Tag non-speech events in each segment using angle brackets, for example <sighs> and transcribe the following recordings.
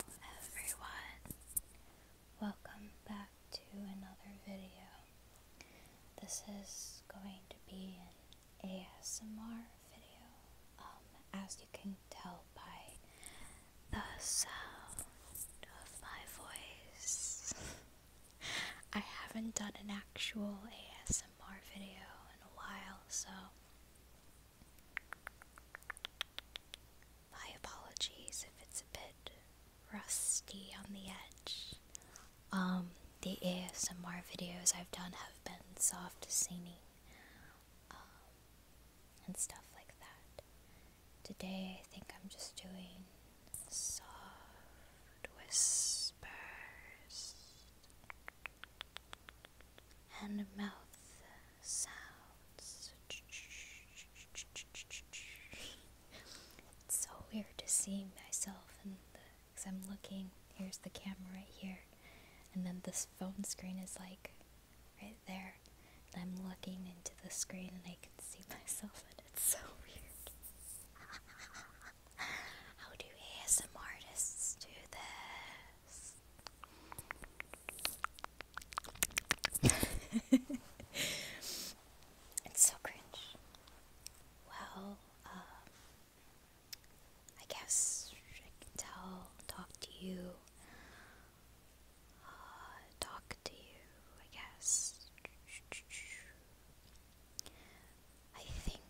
Hello everyone. Welcome back to another video. This is going to be an ASMR video. Um, as you can tell by the sound of my voice. <laughs> I haven't done an actual ASMR video in a while, so my apologies if it's a bit rusty on the edge. Um, the ASMR videos I've done have been soft singing um, and stuff like that. Today, I think I'm just doing soft whispers and mouth sounds. it's so weird to see myself and Because I'm looking, here's the camera right here, and then this phone screen is like right there. And I'm looking into the screen and I can see <laughs> myself, and it's so weird. <laughs> How do ASM artists do this? <laughs> it's so cringe. Well, um, I guess I can tell, talk to you, uh, talk to you, I guess. I think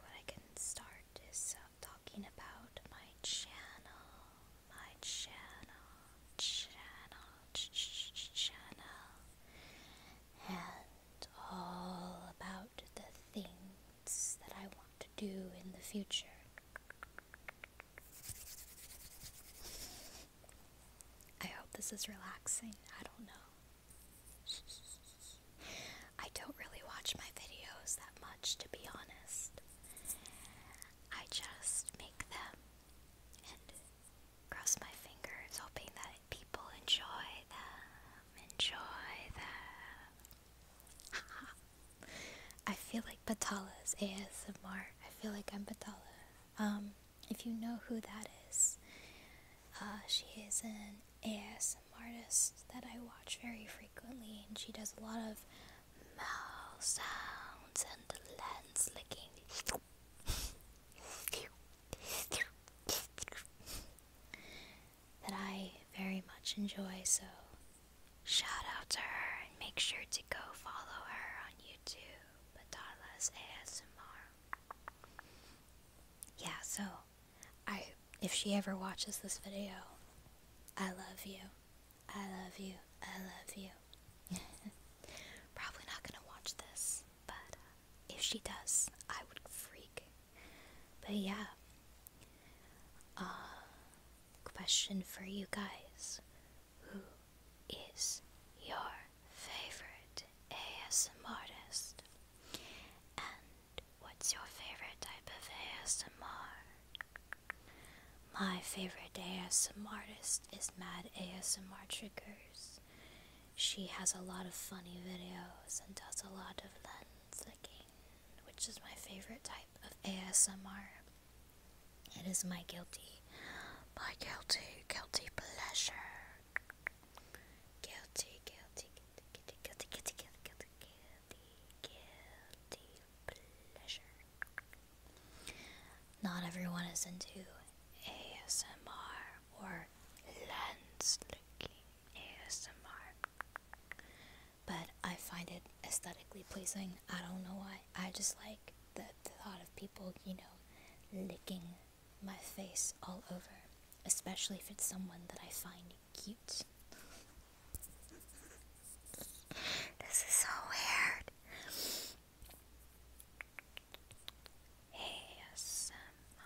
what I can start is uh, talking about my channel, my channel, channel, channel, and all about the things that I want to do in the future. I hope this is relaxing. I don't know. I don't really watch my videos that much, to be honest. I just make them and cross my fingers, hoping that people enjoy them. Enjoy them. <laughs> I feel like Batala's ASMR. I feel like I'm Batala. Um. If you know who that is, uh, she is an ASMR artist that I watch very frequently, and she does a lot of mouth sounds and lens licking. that I very much enjoy, so shout out to her and make sure to go follow her on YouTube, Adala's ASMR yeah, so I if she ever watches this video, I love you. I love you. I love you. <laughs> Probably not gonna watch this, but uh, if she does, I would freak. But yeah. Uh question for you guys. Who is your favorite ASMR artist? And what's your favorite type of ASMR? My favorite ASM artist is Mad ASMR Triggers. She has a lot of funny videos and does a lot of lens licking, which is my favorite type of ASMR. It is my guilty my guilty, guilty pleasure. Guilty, guilty, guilty, guilty, guilty, guilty, guilty, guilty, guilty pleasure. Not everyone is into ASMR or lens looking ASMR, but I find it aesthetically pleasing. I don't know why. I just like the the thought of people, you know, licking my face all over, especially if it's someone that I find cute. this is so weird. ASMR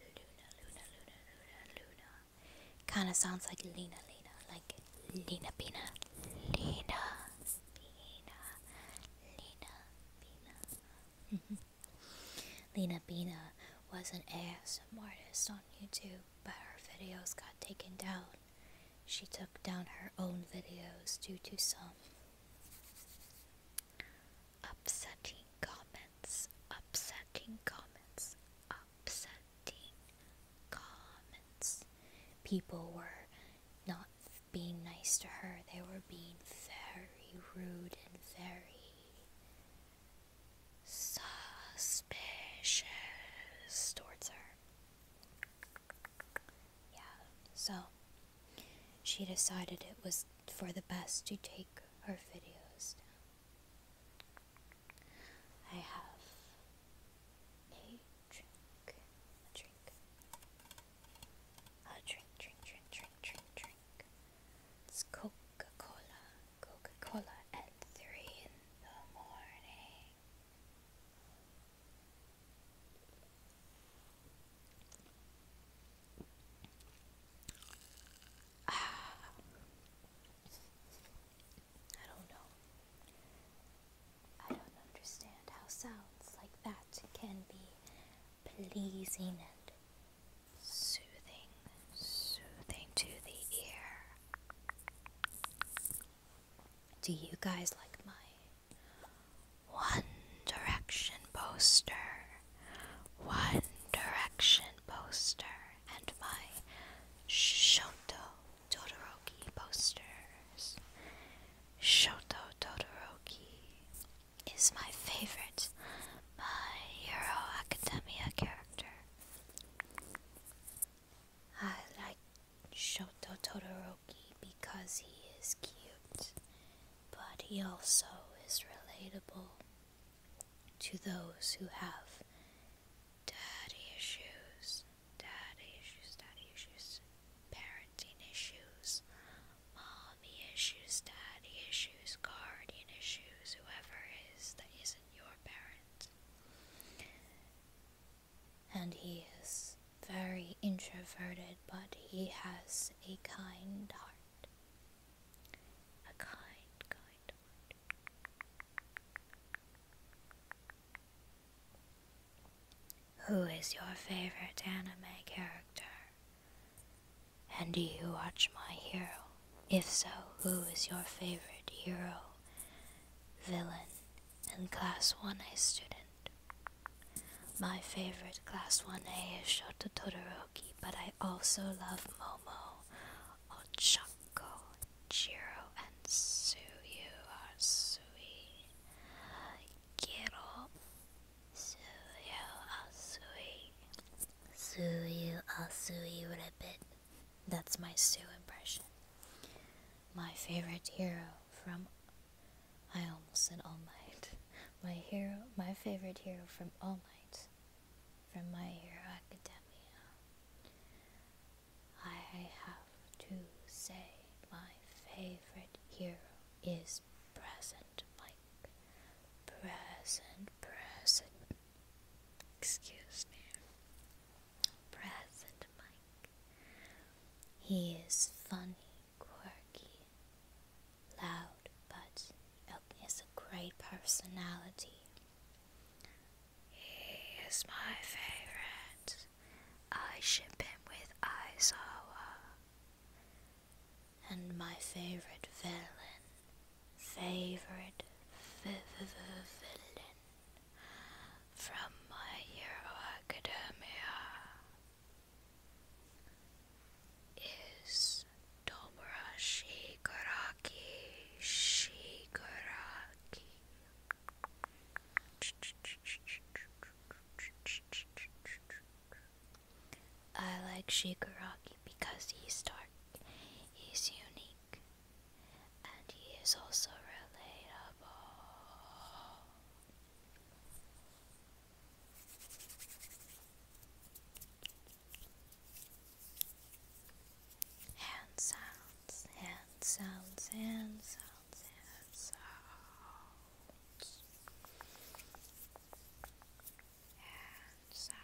Luna, Luna, Luna, Luna, Luna. Kinda sounds like Lena, Lena, like Lena Pina. Lena, Pina, Lena, Pina. Lena Pina <laughs> was an ASM artist on YouTube, but her videos got taken down. She took down her own videos due to some upsetting comments, upsetting comments, upsetting comments. People were not being nice to her, they were being very rude and very suspicious towards her. Yeah, so she decided it was for the best to take her videos down. I have a drink. drink. A drink, drink, drink, drink, drink. It's Coca Cola. Coca Cola at 3 in the morning. <sighs> I don't know. I don't understand how sounds like that can be pleasing and soothing, soothing to the ear. Do you guys like my one Direction poster, One Direction poster, and my Shoto Todoroki posters. Shoto Todoroki is my favorite My Hero Academia character. I like Shoto Todoroki because he is cute, but he also is relatable to those who have daddy issues, daddy issues, daddy issues, parenting issues, mommy issues, daddy issues, guardian issues, whoever is is that isn't your parent. And he is very introverted, but he has a kind heart. A kind, kind Who is your favorite anime character? And do you watch My Hero? If so, who is your favorite hero, villain, and Class 1A student? My favorite Class 1A is Shoto Todoroki, but I also love Momo, Ochako, Jiro, and Suyu are Sui. Giro, Suyu Asui. Suyu Asui Ribbit. That's my Sue impression. My favorite hero from I almost said All Might. My hero, my favorite hero from All Might, from My Hero Academia. I have to say, my favorite hero is Present Mike. Present, present. Excuse me. Present Mike. He is funny, quirky, loud, but he is a great personality. He is my favorite. I ship him with Aizawa. And my favorite villain, favorite villain from My Hero Academia is Tobara Shigaraki Shigaraki. I like Shigaraki because he's dark, he's unique, and he is also relatable. Hand sounds, hand sounds, hand sounds, hand sounds.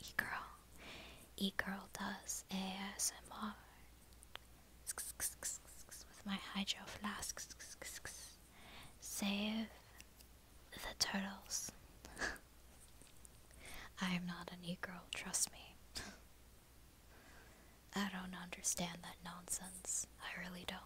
E-girl, E-girl does ASMR with my hydro flask. Save the turtles. <laughs> I am not an e-girl, trust me. I don't understand that nonsense. I really don't.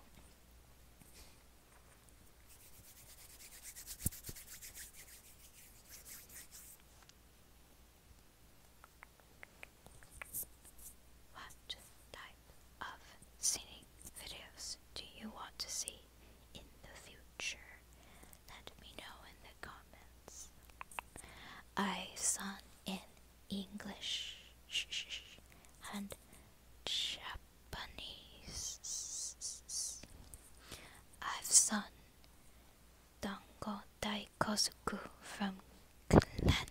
What type of singing videos do you want to see in the future? Let me know in the comments. I sung in English and Japanese. I've sung Dango Dai Daikosuku from Clannad,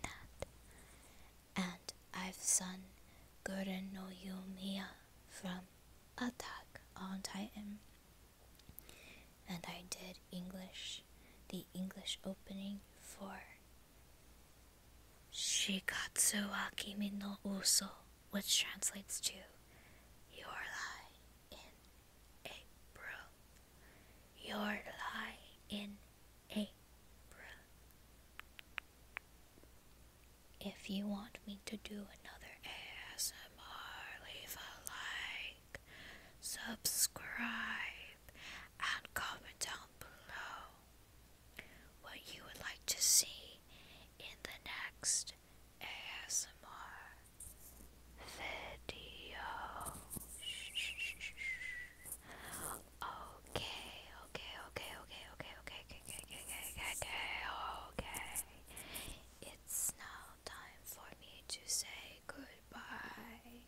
and I've sung Gurren no Yumiya from Attack on Titan. And I did English, the English opening for Shikatsu Akimi no Uso, which translates to Your Lie in April. Your Lie in April. If you want me to do another ASMR, leave a like, subscribe and comment down below what you would like to see in the next ASMR video. Okay, okay, okay, okay, okay, okay, okay, okay, okay, okay, okay, It's now time for me to say goodbye.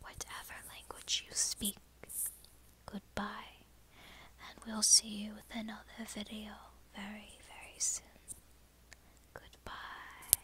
Whatever language you speak, goodbye, and we'll see you with another video very, very soon. Goodbye.